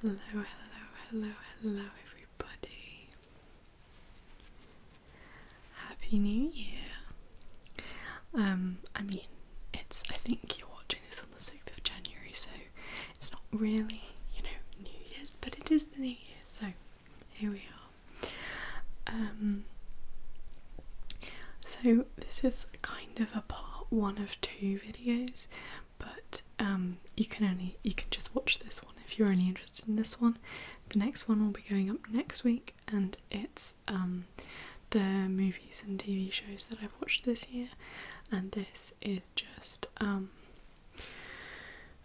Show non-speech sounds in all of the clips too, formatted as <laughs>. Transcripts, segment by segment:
Hello, hello, hello, hello, everybody. Happy New Year. Um, I mean, it's, I think you're watching this on the 6th of January, so it's not really, you know, New Year's, but it is the New Year, so here we are. Um, so this is kind of a part one of two videos but um, you can only you can just watch this one if you're only interested in this one. The next one will be going up next week, and it's um, the movies and TV shows that I've watched this year, and this is just um,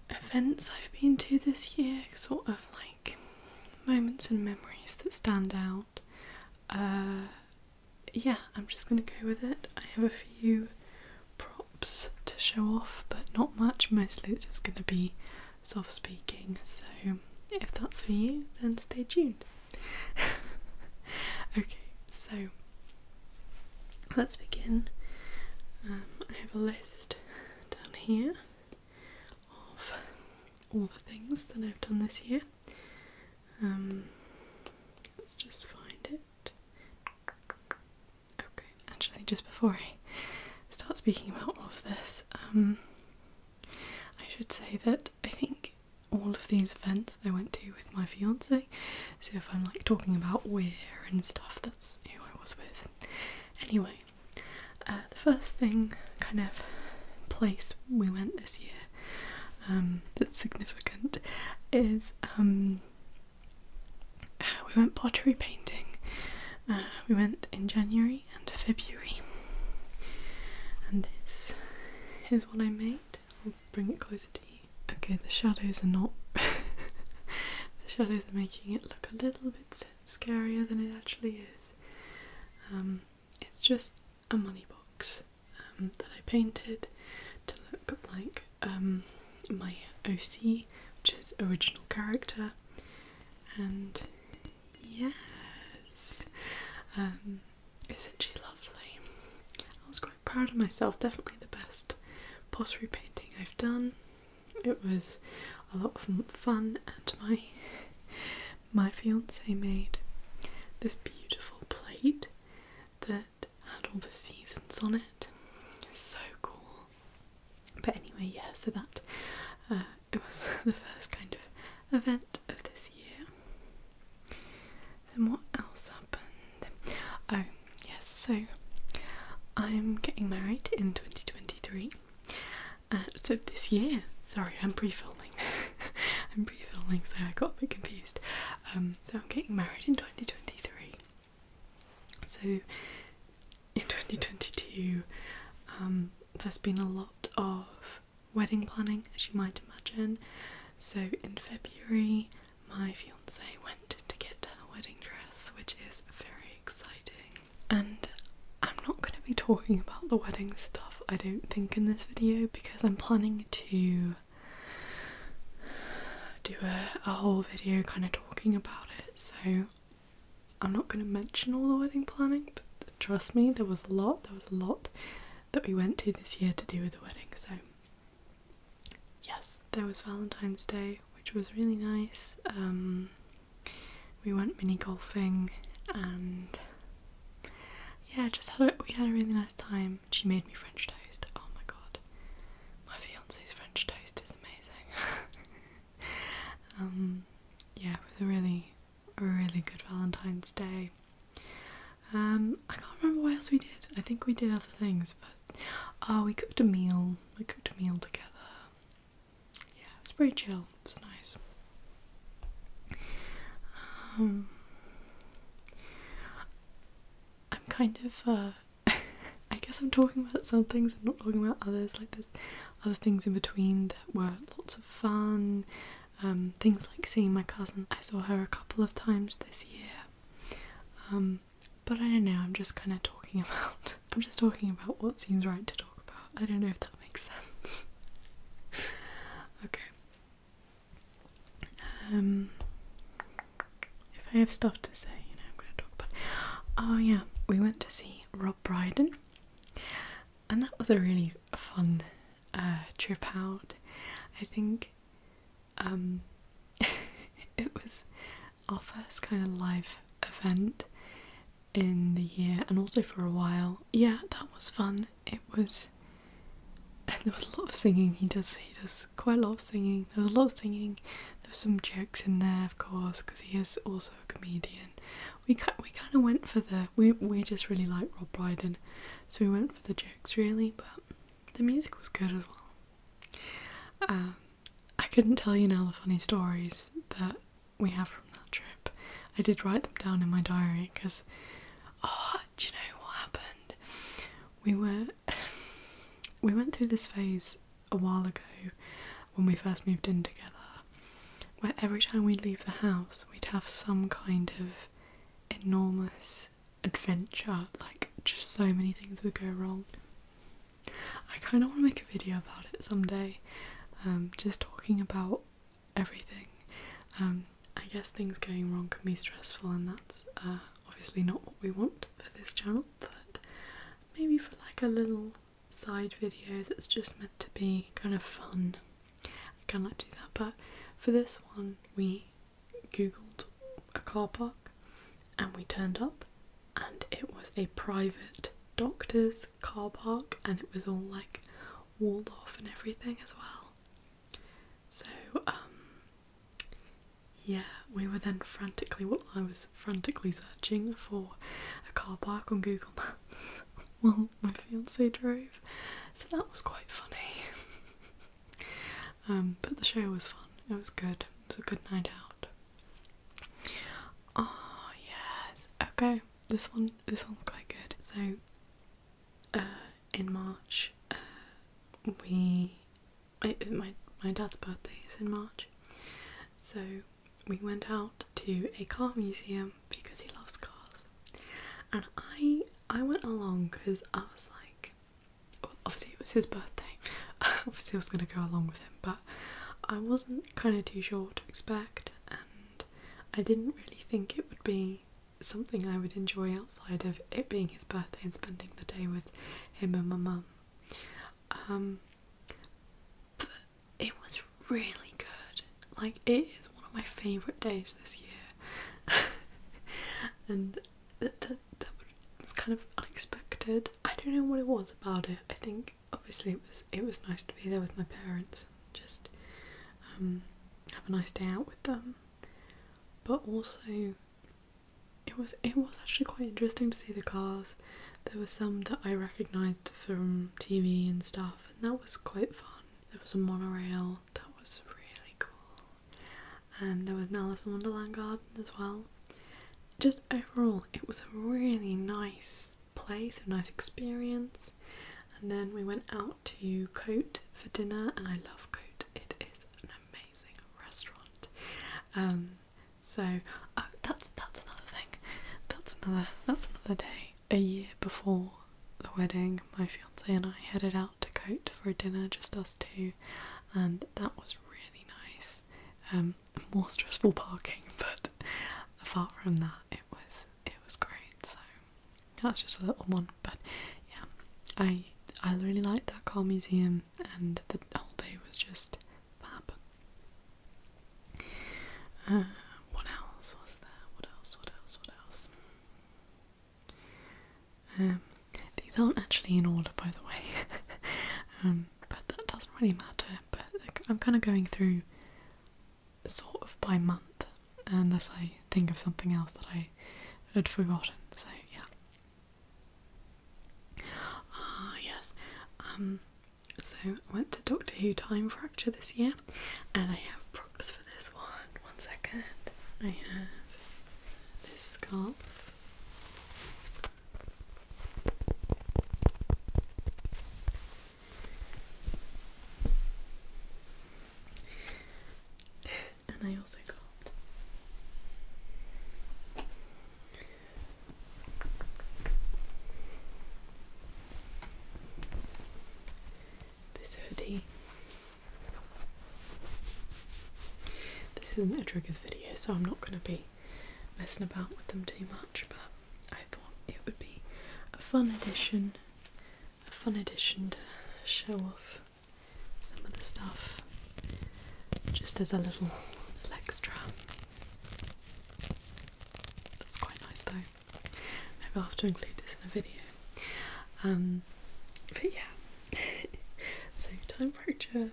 events I've been to this year, sort of like moments and memories that stand out. Uh, yeah, I'm just gonna go with it. I have a few props to show off, but not much. Mostly it's just gonna be soft speaking, so if that's for you, then stay tuned. <laughs> okay, so let's begin. Um, I have a list down here of all the things that I've done this year. Um, let's just find it. Okay, actually, just before I start speaking about all of this, um, I should say that I think all of these events I went to with my fiance. So if I'm like talking about where and stuff, that's who I was with. Anyway, uh, the first thing, kind of place we went this year um, that's significant is um, we went pottery painting. Uh, we went in January and February, and this is what I made. I'll bring it closer to you. Okay, the shadows are not. <laughs> the shadows are making it look a little bit scarier than it actually is. Um, it's just a money box. Um, that I painted to look like um, my OC, which is original character. And yes, um, isn't she lovely? I was quite proud of myself, definitely the best pottery painting I've done. It was a lot of fun, and my my fiance made this beautiful plate that had all the seasons on it. So cool. But anyway, yeah, so that uh, it was <laughs> the first kind of event of this year. Then what else happened? Oh, yes, so I'm getting married in 2023. Uh, so this year, sorry, I'm pre filming. <laughs> I'm pre filming, so I got a bit confused. Um, so I'm getting married in 2023. So in 2022, um, there's been a lot of wedding planning, as you might imagine. So in February, my fiance went to get her wedding dress, which is very exciting. And I'm not going to be talking about the wedding stuff, I don't think, in this video because I'm planning to do a, a whole video kind of talking about it, so I'm not going to mention all the wedding planning, but trust me, there was a lot, there was a lot that we went to this year to do with the wedding, so yes, there was Valentine's Day, which was really nice. Um, we went mini golfing and yeah, just had we had a really nice time. She made me French toast. Oh my god, my fiance's French toast is amazing. <laughs> Um, yeah, it was a really, a really good Valentine's Day. Um, I can't remember what else we did. I think we did other things, but oh, we cooked a meal. We cooked a meal together. Yeah, it was pretty chill. It's nice. Um, I'm kind of, uh, <laughs> I guess I'm talking about some things, I'm not talking about others, like there's other things in between that were lots of fun, um, things like seeing my cousin, I saw her a couple of times this year, um, but I don't know, I'm just kind of talking <laughs> about, I'm just talking about what seems right to talk about, I don't know if that makes sense. <laughs> okay, um, if I have stuff to say, you know, I'm going to talk about. Oh yeah, we went to see Rob Brydon, and that was a really fun uh, trip out. I think um, <laughs> it was our first kind of live event in the year, and also for a while. Yeah, that was fun. It was and there was a lot of singing. He does he does quite a lot of singing. There was a lot of singing. There were some jokes in there, of course, because he is also a comedian. We kind we kind of went for the we we just really like Rob Brydon, so we went for the jokes really. But the music was good as well. Um, I couldn't tell you now the funny stories that we have from that trip. I did write them down in my diary because, oh, do you know what happened? We were <laughs> we went through this phase a while ago when we first moved in together, where every time we'd leave the house, we'd have some kind of enormous adventure, like just so many things would go wrong. I kind of want to make a video about it someday, um, just talking about everything. Um, I guess things going wrong can be stressful, and that's uh, obviously not what we want for this channel, but maybe for like a little side video that's just meant to be kind of fun. I kind of like do that, but for this one, we googled a car park and we turned up, and it was a private doctor's car park, and it was all like walled off and everything as well. So, um, yeah, we were then frantically, well, I was frantically searching for a car park on Google Maps <laughs> Well, my fiance drove, so that was quite funny. <laughs> Um, but the show was fun, it was good, it was a good night out. Oh, yes, okay, this one, this one's quite good. So, uh, in March, uh, we my my dad's birthday is in March, so we went out to a car museum because he loves cars, and I I went along because I was like, obviously it was his birthday, <laughs> obviously I was gonna go along with him, but I wasn't kind of too sure what to expect, and I didn't really think it would be something I would enjoy outside of it being his birthday and spending the day with him and my mum. Um, but it was really good. Like, it is one of my favourite days this year. <laughs> and that, that, that was kind of unexpected. I don't know what it was about it. I think obviously it was it was nice to be there with my parents and just um, have a nice day out with them. But also it was it was actually quite interesting to see the cars. There were some that I recognised from TV and stuff, and that was quite fun. There was a monorail that was really cool, and there was an Alice in Wonderland garden as well. Just overall, it was a really nice place, a nice experience. And then we went out to Cote for dinner, and I love Cote. It is amazing restaurant. Um, so uh, that's that's another thing. That's another that's another day. A year before the wedding, my fiance and I headed out to Cote for dinner, just us two, and that was really nice. Um, more stressful parking, <laughs> but apart from that, it was it was great. So that's just a little one, but yeah, I I really liked that car museum, and the whole day was just fab. Uh, what else was there? What else? What else? What else? Um, these aren't actually in order, by the way, <laughs> um, but that doesn't really matter. But I'm kind of going through sort of by month, unless I think of something else that I had forgotten. So yeah. Ah, yes. Um, so I went to Doctor Who Time Fracture this year, and I have props for this one. One second. I have this scarf and I also got this hoodie. This isn't a triggers video, so I'm not going to be messing about with them too much, but I thought it would be a fun addition, a fun addition to show off some of the stuff just as a little extra. That's quite nice though. Maybe I'll have to include this in a video. Um, but yeah, <laughs> so time fracture.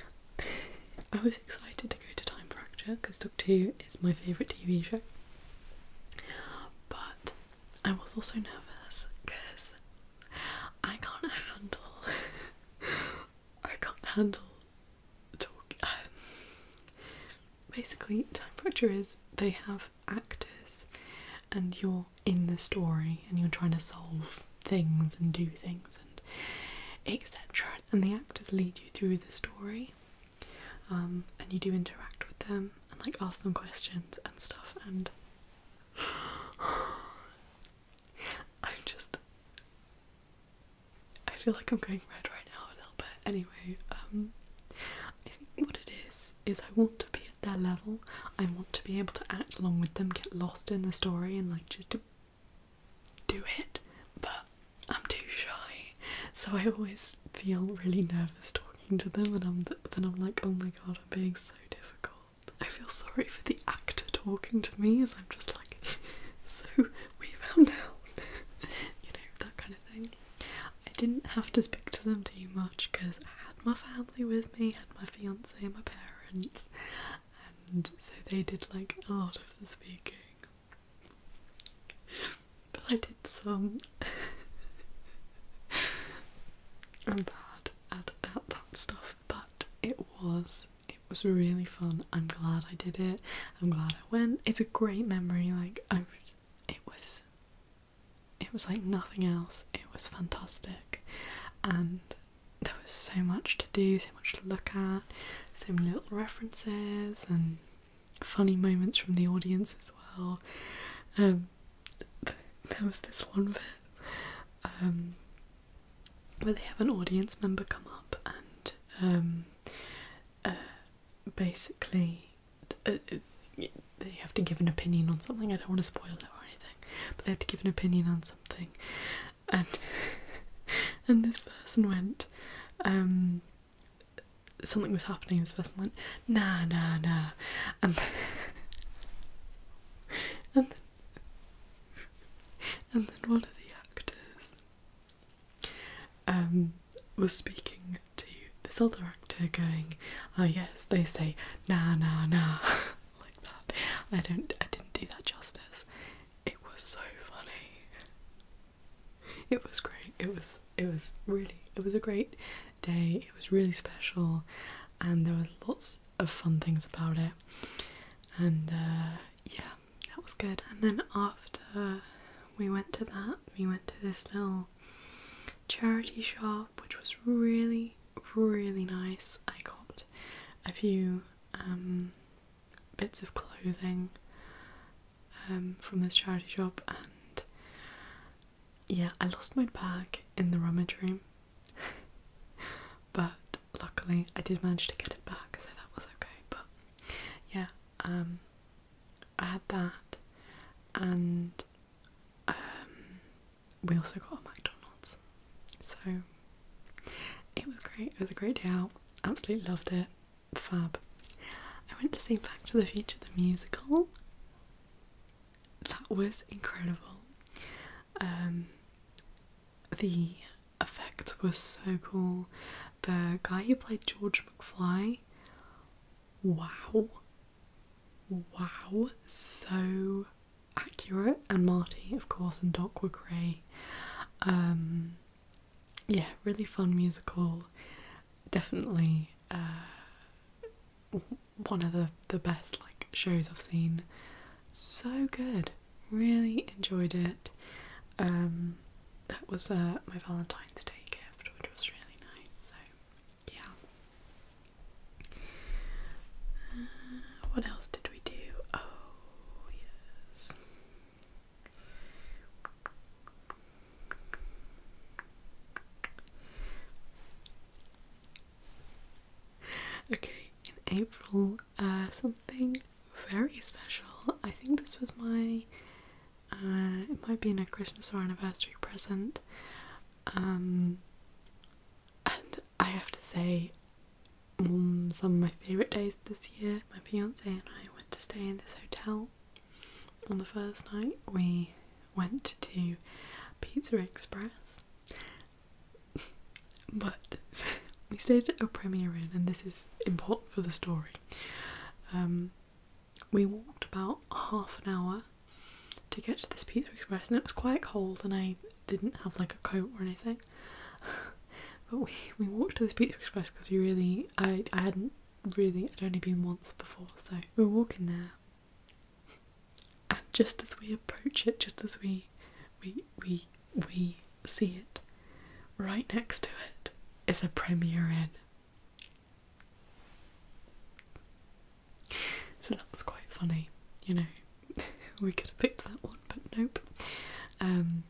<laughs> I was excited to go to Time Fracture because Doctor Who is my favourite TV show. But I was also nervous because I can't handle. <laughs> I can't handle <sighs> basically, Time pressure is they have actors, and you're in the story, and you're trying to solve things and do things and etc. And the actors lead you through the story, um, and you do interact with them and like ask them questions and stuff. And <sighs> <sighs> I'm just. I feel like I'm going red right now a little bit. Anyway, um, what it is is I want to be at their level. I want to be able to act along with them, get lost in the story, and like just to do it. But I'm too shy, so I always feel really nervous talking to them, and I'm then I'm like, oh my god, I'm being so difficult. I feel sorry for the actor talking to me as I'm just like, <laughs> so we found out, <laughs> you know, that kind of thing. I didn't have to speak to them too much because I had my family with me, had my fiance, and my parents, and so they did like a lot of the speaking. But I did some. <laughs> I'm bad at, that stuff but it was it was really fun. I'm glad I did it. I'm glad I went. It's a great memory. Like I, it was. It was like nothing else. It was fantastic, and there was so much to do, so much to look at, so many little references and funny moments from the audience as well. Um, there was this one bit um, where they have an audience member come up and um, uh, basically uh, they have to give an opinion on something. I don't want to spoil it or anything, but they have to give an opinion on something, and <laughs> and this person went. Um, something was happening. This person went, nah, nah, nah, and <laughs> and <laughs> and then one of the actors um, was speaking to this other actor, going, "Ah, yes, they say nah, nah, nah, <laughs> like that." I don't, I didn't do that justice. It was so funny. It was great. It was, it was really, it was a great day. It was really special, and there was lots of fun things about it. And uh, yeah, that was good. And then after we went to that, we went to this little charity shop, which was really, really nice. I got a few um, bits of clothing um, from this charity shop, and yeah, I lost my bag in the rummage room. <laughs> but luckily I did manage to get it back, so that was okay. But yeah, um, I had that, and um, we also got a McDonald's, so it was great. It was a great day out. Absolutely loved it. Fab. I went to see Back to the Future the musical that was incredible. Um, the effect was so cool. The guy who played George McFly, wow, wow, so accurate. And Marty, of course, and Doc were great. Um, yeah, really fun musical. Definitely uh, one of the, the best like shows I've seen. So good. Really enjoyed it. Um that was uh, my Valentine's Day gift, which was really nice. So yeah. Uh, what else did we do? Oh yes. <laughs> okay, in April, uh, something very special. I think this was my, uh, it might be in a Christmas or anniversary present. Um, and I have to say, mm, some of my favourite days this year, my fiance and I went to stay in this hotel. On the first night, we went to Pizza Express but we stayed at a Premier Inn, and this is important for the story. Um, we walked about half an hour to get to this Pizza Express, and it was quite cold, and I didn't have like a coat or anything. <laughs> but we, we walked to this Pizza Express because we really, I, I hadn't really, I'd only been once before, so we were walking there, <laughs> and just as we approach it, just as we we we we see it, right next to it is a Premier Inn. So that was quite funny, you know. <laughs> we could have picked that one, but nope. Um,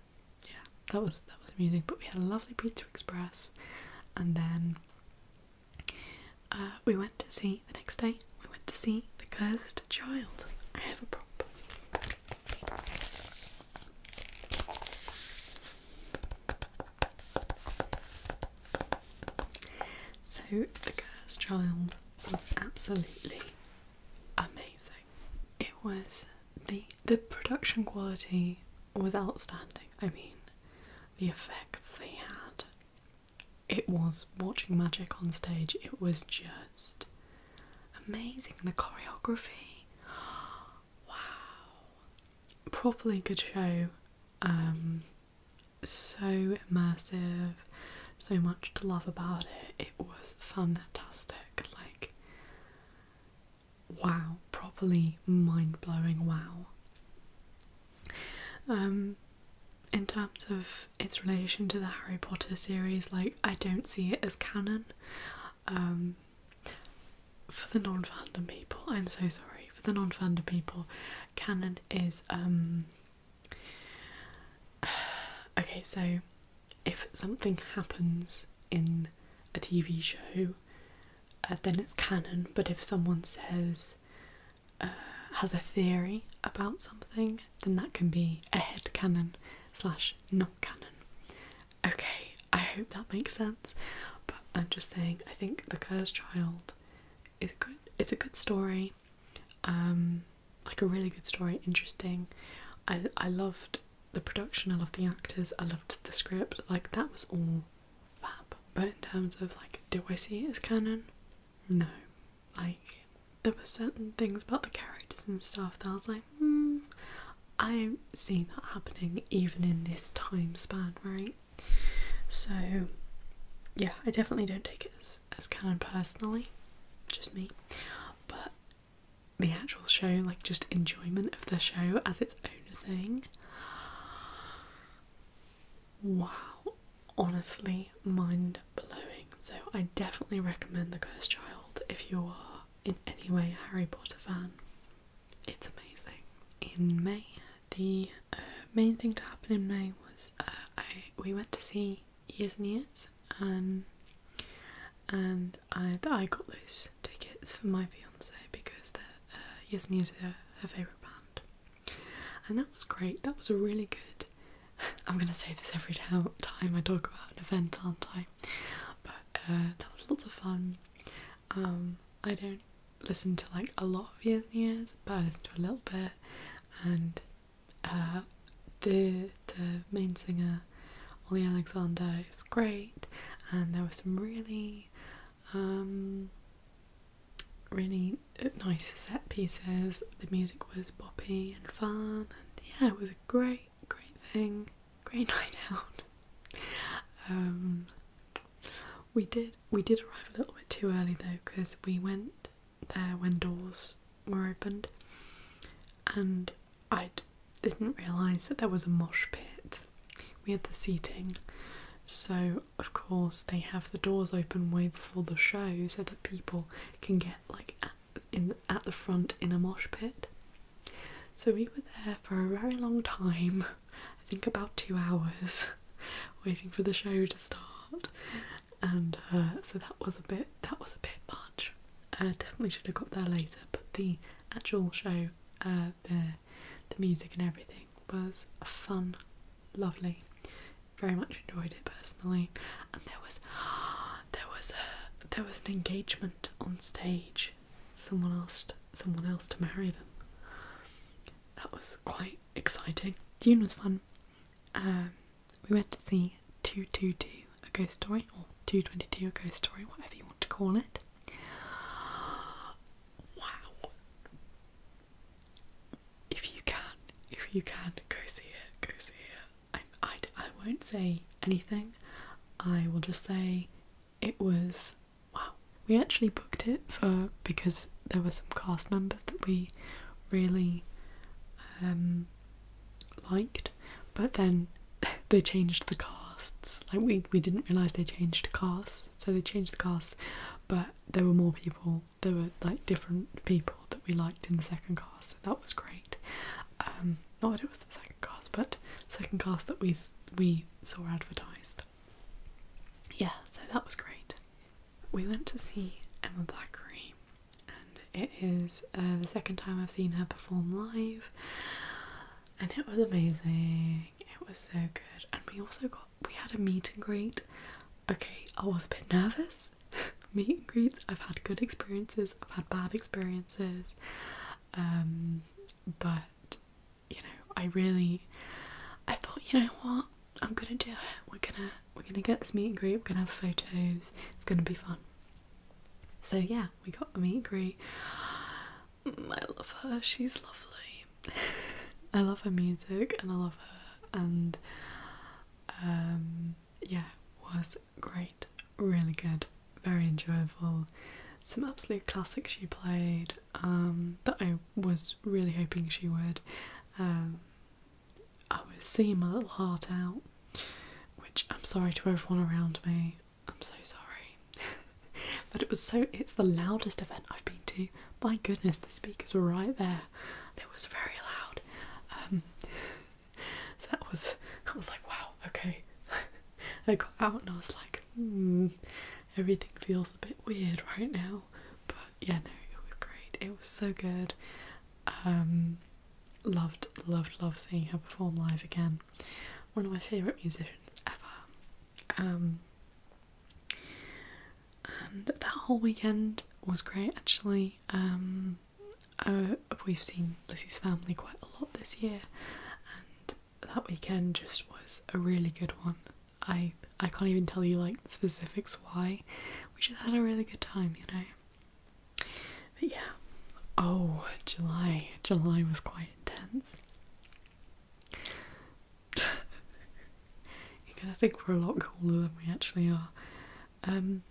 yeah, that was that was amusing. But we had a lovely Pizza Express, and then uh, we went to see the next day we went to see the cursed child. I have a prop. So the cursed child was absolutely amazing. It was the the production quality was outstanding. I mean the effects they had it was watching magic on stage, it was just amazing. The choreography, wow, properly good show. Um, so immersive, so much to love about it. It was fantastic, like, wow, properly mind blowing. Wow. Um, in terms of its relation to the Harry Potter series. Like, I don't see it as canon. Um, for the non fandom people, I'm so sorry. For the non fandom people, canon is. Um, <sighs> okay, so if something happens in a TV show, uh, then it's canon, but if someone says, uh, has a theory about something, then that can be a head canon slash not canon. Okay, I hope that makes sense. But I'm just saying, I think The Cursed Child is a good. It's a good story, um, like a really good story. Interesting. I I loved the production. I loved the actors. I loved the script. Like that was all fab. But in terms of like, do I see it as canon? No, like there were certain things about the characters and stuff that I was like, hmm, I see that happening even in this time span, right? So yeah, I definitely don't take it as, as canon personally, just me. But the actual show, like just enjoyment of the show as its own thing. Wow, honestly mind blowing. So I definitely recommend The Cursed Child if you are in any way a Harry Potter fan. It's amazing. In May, the uh, main thing to happen in May was uh, I we went to see Years and Years, um, and I I got those tickets for my fiance because the uh, Years and Years are her, her favorite band, and that was great. That was a really good I'm gonna say this every <laughs> time I talk about an event, aren't I? But uh, that was lots of fun. Um, I don't listen to like a lot of years and years, but I listen to a little bit. And uh, the the main singer, Olly Alexander, is great. And there were some really um, really nice set pieces. The music was boppy and fun, and yeah, it was a great, great thing. Great <laughs> night out. Um, we did we did arrive a little bit too early though, because we went there when doors were opened, and I didn't realise that there was a mosh pit. We had the seating. So, of course, they have the doors open way before the show so that people can get like at, in at the front in a mosh pit. So we were there for a very long time, I think about two hours, <laughs> waiting for the show to start, and uh, so that was a bit that was a bit much. Uh, definitely should have got there later, but the actual show, uh, the the music and everything was fun, lovely very much enjoyed it personally. And there was there was a there was an engagement on stage. Someone asked someone else to marry them. That was quite exciting. June was fun. Um, we went to see 222 A Ghost Story, or 222 A Ghost Story, whatever you want to call it. Wow. If you can, if you can, go see it, go see it. I, I, I won't say anything. I will just say it was wow. We actually booked it for because there were some cast members that we really um, liked, but then <laughs> they changed the casts. Like we we didn't realize they changed the casts, so they changed the casts, but there were more people there were like different people that we liked in the second class, so that was great. not that it was the second class, but second class that we we saw advertised. Yeah, so that was great. We went to see Emma Thackeray, and it is uh, the second time I've seen her perform live, and it was amazing. It was so good, and we also got we had a meet and greet. Okay, I was a bit nervous greets. <laughs> meet and greets. I've had good experiences. I've had bad experiences. Um, but you know, I really, I thought, you know what, I'm gonna do it. We're gonna we're gonna get this meet and greet. We're gonna have photos. It's gonna be fun. So yeah, we got a meet and greet. Mm, I love her. She's lovely. <laughs> I love her music and I love her and um, yeah, was great, really good, very enjoyable. Some absolute classics she played um, that I was really hoping she would. Um, I was seeing my little heart out, which I'm sorry to everyone around me. I'm so sorry, <laughs> but it was so. It's the loudest event I've been to. My goodness, the speakers were right there. it was very loud. Um, <laughs> that was I was like wow okay <laughs> I got out and I was like hmm, everything feels a bit weird right now but yeah no it was great it was so good um, loved loved loved seeing her perform live again one of my favorite musicians ever um, and that whole weekend was great actually um, uh, we've seen Lizzie's family quite a lot this year, and that weekend just was a really good one. I I can't even tell you like specifics why. We just had a really good time, you know. But yeah. Oh, July. July was quite intense. <laughs> you kind of think we're a lot cooler than we actually are. Um,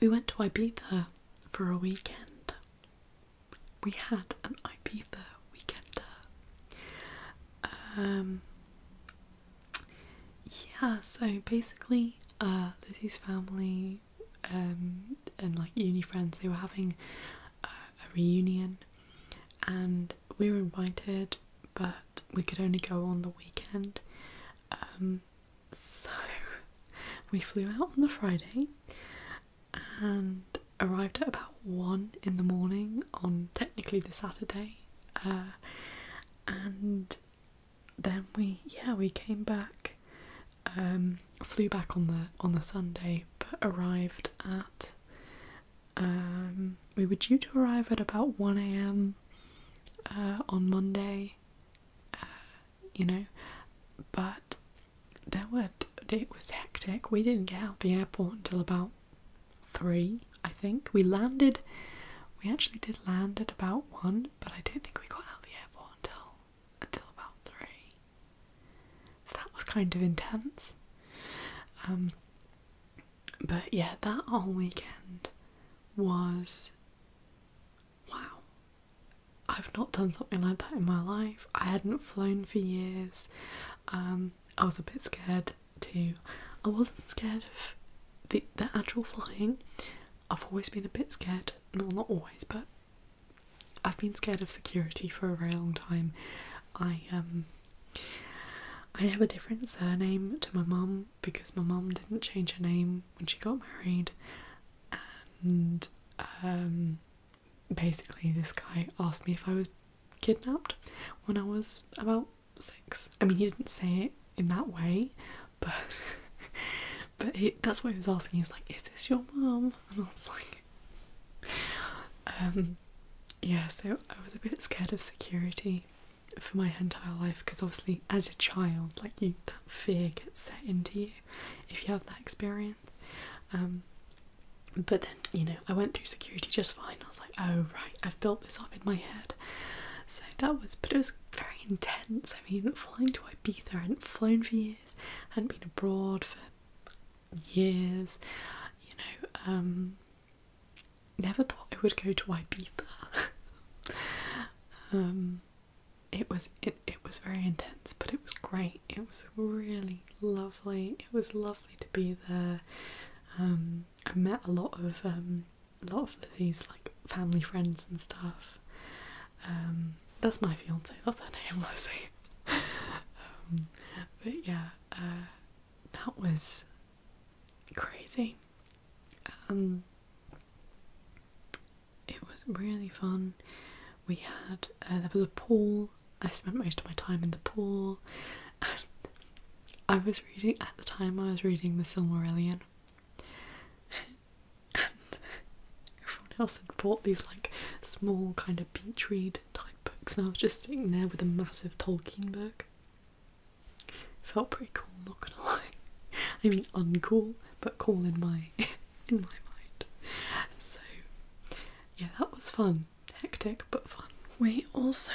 we went to Ibiza for a weekend. We had an Ibiza weekender. Um, yeah, so basically, uh, Lizzie's family um, and like uni friends, they were having a reunion and we were invited, but we could only go on the weekend. Um, so <laughs> we flew out on the Friday and arrived at about one in the morning on technically the Saturday, uh, and then we yeah we came back, um, flew back on the on the Sunday, but arrived at um, we were due to arrive at about one a.m. Uh, on Monday, uh, you know, but there were it was hectic. We didn't get out of the airport until about three, I think. We landed. We actually did land at about one, but I don't think we got out of the airport until until about three. So that was kind of intense. Um, but yeah, that whole weekend was wow. I've not done something like that in my life. I hadn't flown for years. Um, I was a bit scared too. I wasn't scared of the, the actual flying. I've always been a bit scared. No, not always, but I've been scared of security for a very long time. I um I have a different surname to my mum, because my mum didn't change her name when she got married, and um, basically, this guy asked me if I was kidnapped when I was about six. I mean, he didn't say it in that way, but <laughs> but that's why he was asking. He was like, "Is this your mum?" And I was like, um, yeah. So I was a bit scared of security for my entire life because obviously as a child like you that fear gets set into you if you have that experience um, but then you know i went through security just fine i was like oh right i've built this up in my head so that was but it was very intense i mean flying to ibiza i hadn't flown for years I hadn't been abroad for years you know um, never thought I would go to Ibiza. <laughs> Um, it was it, it was very intense, but it was great. It was really lovely. It was lovely to be there. Um, I met a lot of um, a lot of Lizzie's like family friends and stuff. Um, that's my fiance. That's her name, Lizzie. <laughs> but yeah, uh, that was crazy it was really fun. We had uh, there was a pool. I spent most of my time in the pool, I was reading at the time. I was reading The Silmarillion, <laughs> and everyone else had bought these like small kind of beach read type books, and I was just sitting there with a massive Tolkien book. Felt pretty cool, not gonna lie. I mean uncool, but cool in my <laughs> in my mind. So yeah, that was fun. Hectic but fun. We also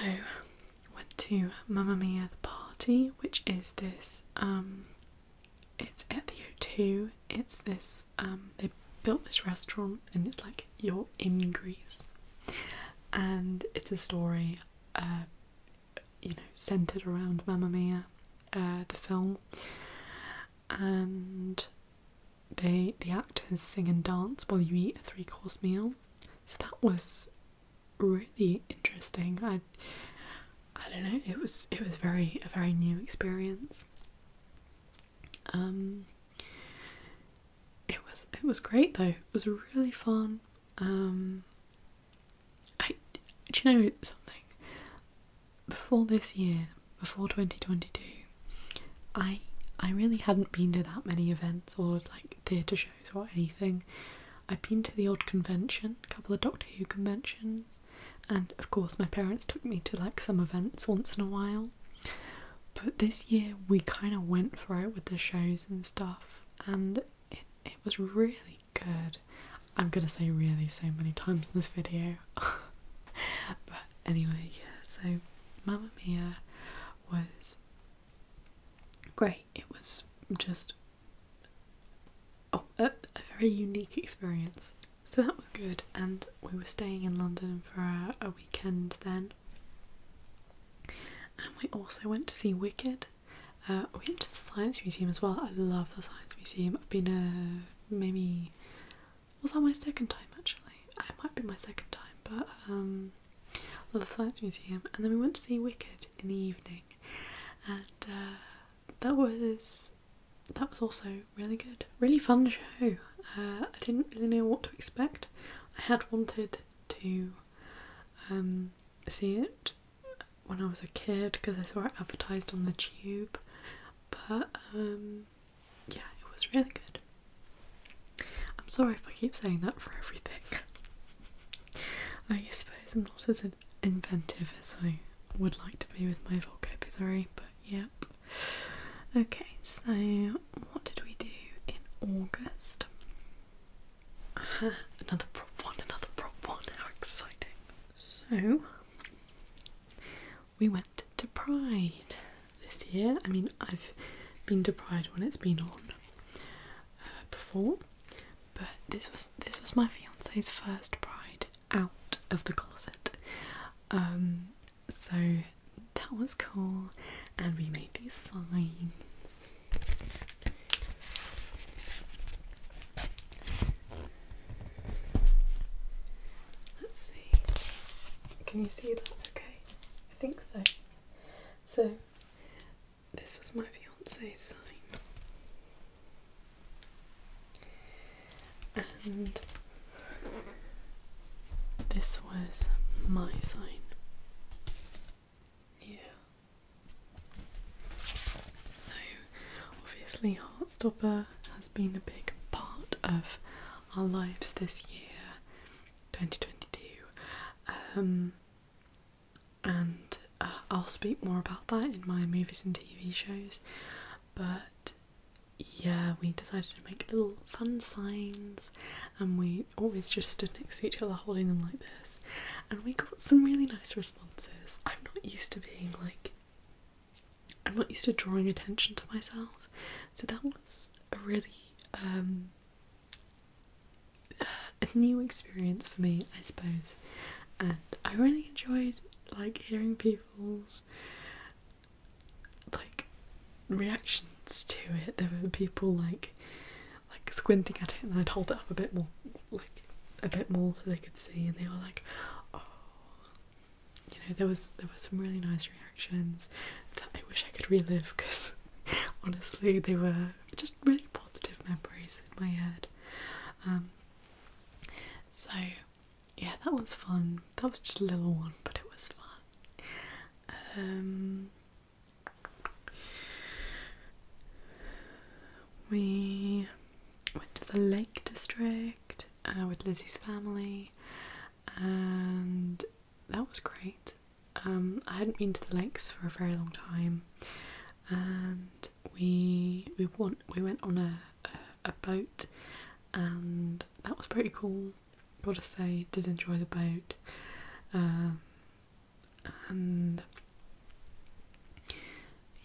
went to Mamma Mia the Party, which is this um it's at the O2. It's this um they built this restaurant and it's like you're in Greece. And it's a story uh, you know, centered around Mamma Mia, uh, the film, and they the actors sing and dance while you eat a three course meal. So that was really interesting. I I don't know. It was it was very a very new experience. Um, it was it was great though. It was really fun. Um, I do you know something? Before this year, before 2022, I I really hadn't been to that many events or like theatre shows or anything. I've been to the odd convention, a couple of Doctor Who conventions, and of course my parents took me to like some events once in a while. But this year we kind of went for it with the shows and stuff, and it, it was really good. I'm gonna say really so many times in this video. <laughs> but anyway, yeah, so Mamma Mia was great. It was just oh, a, a very unique experience. So that was good, and we were staying in London for a weekend then. And we also went to see Wicked, uh, we went to the Science Museum as well. I love the Science Museum. I've been a uh, maybe was that my second time actually? It might be my second time, but um, the Science Museum. And then we went to see Wicked in the evening, and uh, that was that was also really good, really fun show. I didn't really know what to expect. I had wanted to um, see it when I was a kid because I saw it advertised on the tube. But um, yeah, it was really good. I'm sorry if I keep saying that for everything. <laughs> I suppose I'm not as inventive as I would like to be with my vocabulary, but yeah. Okay, so what did we do in August? <laughs> another prop one, another prop one. How exciting. So, we went to Pride this year. I mean, I've been to Pride when it's been on uh, before, but this was this was my fiance's first Pride out of the closet. Um, so that was cool, and we made these signs Let's see. Can you see that? Okay, I think so. So, this was my fiance's sign. And this was my sign. Yeah. So, obviously, Heartstopper has been a big part of our lives this year, 2022, um, and uh, I'll speak more about that in my movies and TV shows. But yeah, we decided to make little fun signs, and we always just stood next to each other holding them like this, and we got some really nice responses I'm not used to being like, I'm not used to drawing attention to myself, so that was a really um, a new experience for me, I suppose. And I really enjoyed like hearing people's like reactions to it. There were people like like squinting at it and I'd hold it up a bit more like a bit more so they could see and they were like oh you know there was there was some really nice reactions that I wish I could relive because <laughs> honestly they were just really positive memories in my head um, so yeah that was fun that was just a little one but it was fun um, we went to the Lake District uh, with Lizzie's family, and that was great. Um, I hadn't been to the lakes for a very long time, and we we want we went on a, a, boat, and that was pretty cool. Gotta say, did enjoy the boat. Um, and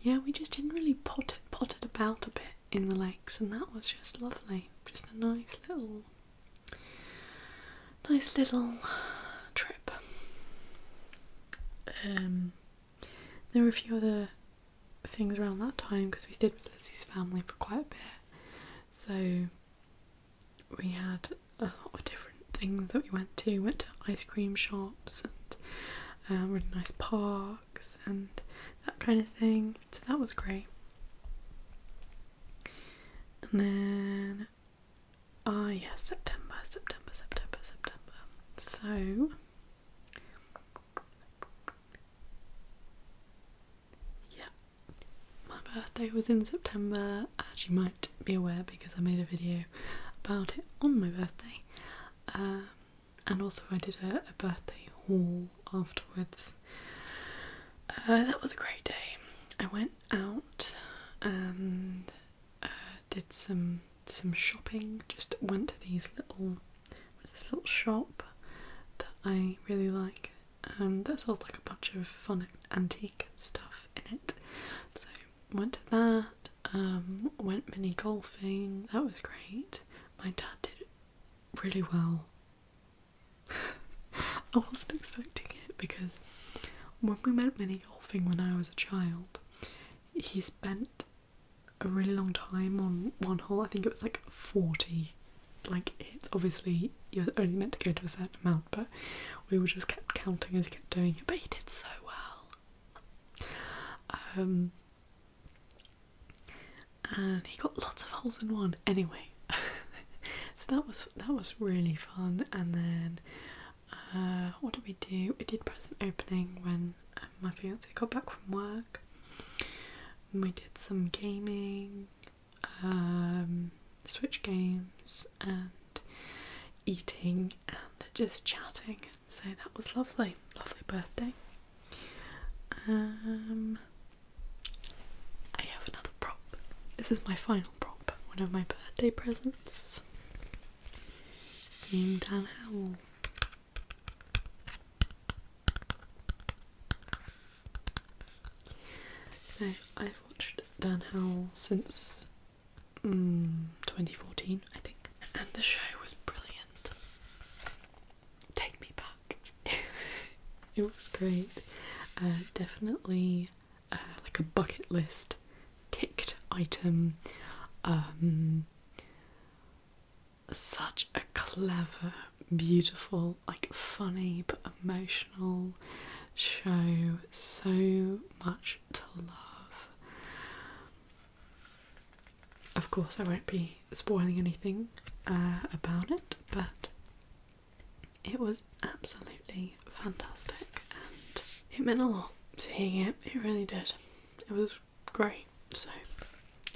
yeah, we just didn't really potted potted about a bit in the lakes, and that was just lovely. Just a nice little, nice little trip. Um, there were a few other things around that time because we stayed with Lizzie's family for quite a bit, so we had a lot of different things that we went to. Went to ice cream shops and uh, really nice parks and that kind of thing. So that was great. And then, ah, yes, September, September, September, September. So, yeah, my birthday was in September, as you might be aware because I made a video about it on my birthday. Um, and also, I did a, birthday haul afterwards. Uh, that was a great day. I went out and uh, did some some shopping. Just went to these little this little shop that I really like. and um, that sells like a bunch of fun antique stuff in it. So went to that, um, went mini golfing, that was great. My dad did really well. <laughs> I wasn't expecting it because when we went mini golfing when I was a child, he spent a really long time on one hole. I think it was like 40. Like, it's obviously you're only meant to go to a certain amount, but we were just kept counting as he kept doing it. But he did so well. Um, and he got lots of holes in one. Anyway, <laughs> so that was that was really fun. And then uh, what did we do? We did present opening when um, my fiance got back from work. we did some gaming, um, Switch games, and eating and just chatting. So that was lovely, lovely birthday. Um, I have another prop. This is my final prop, one of my birthday presents. Seeing Dan Howell. So I've watched Dan Howell since Mm, 2014, I think. And the show was brilliant. Take me back. <laughs> it was great. Uh, definitely uh, like a bucket list ticked item. Um, such a clever, beautiful, like funny but emotional show. So much to love. Of course, I won't be spoiling anything uh, about it, but it was absolutely fantastic and it meant a lot seeing it, it really did. It was great. So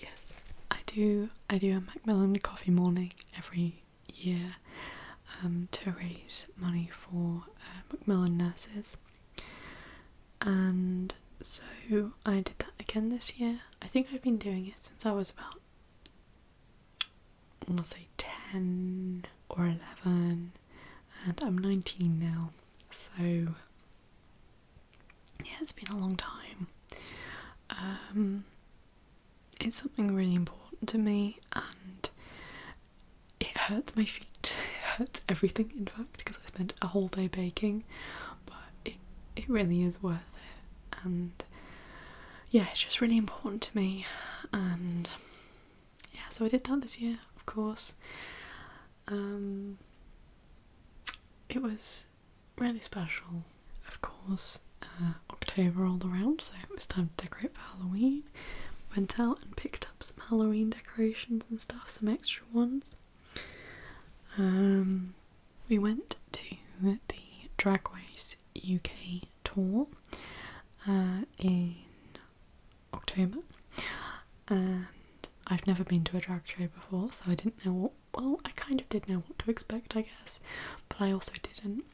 yes. I do I do a Macmillan coffee morning every year um, to raise money for uh, Macmillan nurses and so I did that again this year. I think I've been doing it since I was about, I want to say 10 or 11, and I'm 19 now, so yeah, it's been a long time. Um, it's something really important to me, and it hurts my feet. <laughs> It hurts everything, in fact, because I spent a whole day baking, but it it really is worth it. And yeah, it's just really important to me. And yeah, so I did that this year, of course. Um, it was really special, of course. Uh, October rolled around, so it was time to decorate for Halloween. Went out and picked some Halloween decorations and stuff, some extra ones. Um, we went to the Drag Race UK tour uh, in October, and I've never been to a drag show before, so I didn't know Well, I kind of did know what to expect, I guess, but I also didn't.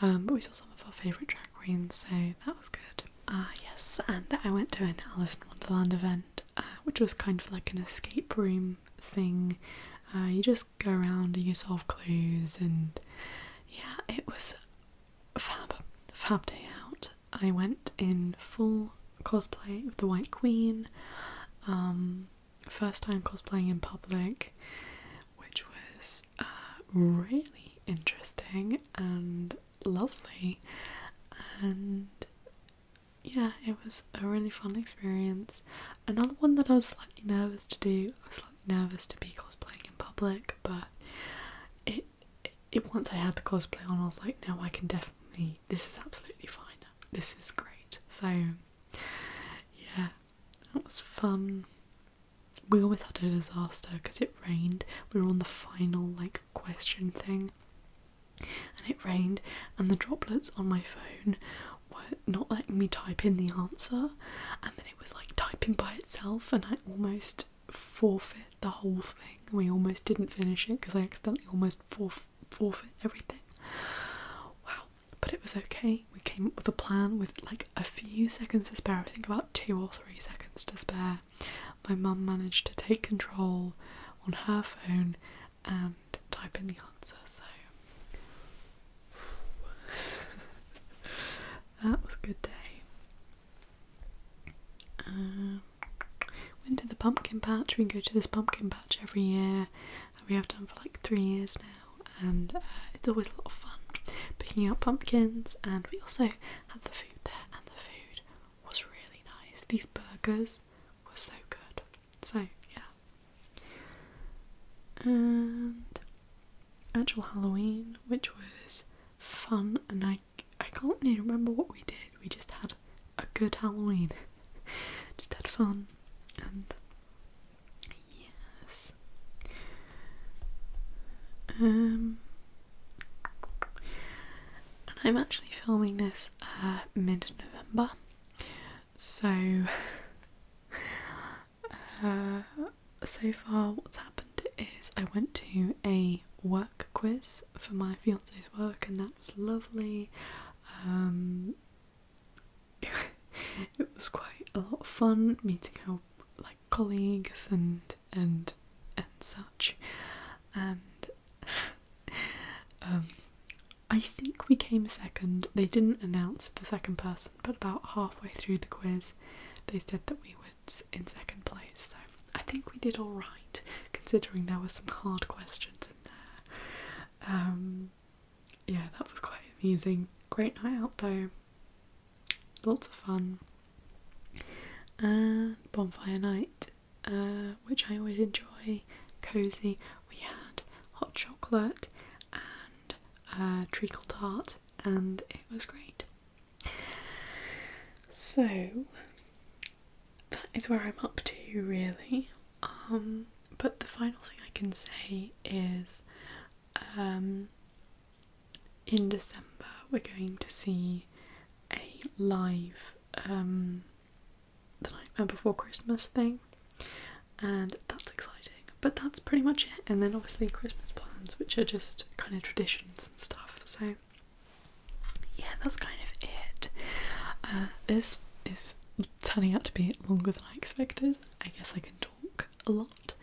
Um, but we saw some of our favourite drag queens, so that was good. Ah, yes, and I went to an Alice in Wonderland event, uh, which was kind of like an escape room thing. Uh, you just go around and you solve clues, and yeah, it was fab, fab day out. I went in full cosplay of the White Queen, um, first time cosplaying in public, which was uh, really interesting and lovely and yeah, it was a really fun experience. Another one that I was slightly nervous to do, I was slightly nervous to be cosplaying in public, but it, it, once I had the cosplay on, I was like, no, I can definitely, this is absolutely fine, this is great. So, yeah, that was fun. We almost had a disaster because it rained. We were on the final like question thing. And it rained, and the droplets on my phone were not letting me type in the answer, and then it was like typing by itself, and I almost forfeit the whole thing. We almost didn't finish it because I accidentally almost forfeit everything. Wow, but it was okay. We came up with a plan with like a few seconds to spare, I think about two or three seconds to spare, my mum managed to take control on her phone and type in the answer. So <laughs> that was a good day. Uh, um, went to the pumpkin patch. We go to this pumpkin patch every year. and We have done for like three years now, and uh, it's always a lot of fun picking out pumpkins. And we also have the food there, and the food was really nice. These burgers were so good. So, yeah. And actual Halloween, which was fun, and I, I can't really remember what we did. We just had a good Halloween, <laughs> just had fun, and yes. Um, and I'm actually filming this uh, mid November, so <laughs> uh, so far what's happened is I went to a work quiz for my fiance's work, and that was lovely. Um, <laughs> it was quite a lot of fun meeting her like colleagues and and and such and um, I think we came second. They didn't announce the second person, but about halfway through the quiz, they said that we were in second place. So I think we did all right, considering there were some hard questions in there. Um, yeah, that was quite amusing. Great night out though. Lots of fun and uh, bonfire night, uh, which I always enjoy, cozy. We had hot chocolate and uh, treacle tart, and it was great. So that is where I'm up to, really. Um, but the final thing I can say is um, in December we're going to see a live um, the Nightmare Before Christmas thing, and that's exciting. But that's pretty much it. And then obviously Christmas plans, which are just kind of traditions and stuff. So yeah, that's kind of it. Uh, this is turning out to be longer than I expected. I guess I can talk a lot.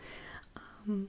Um,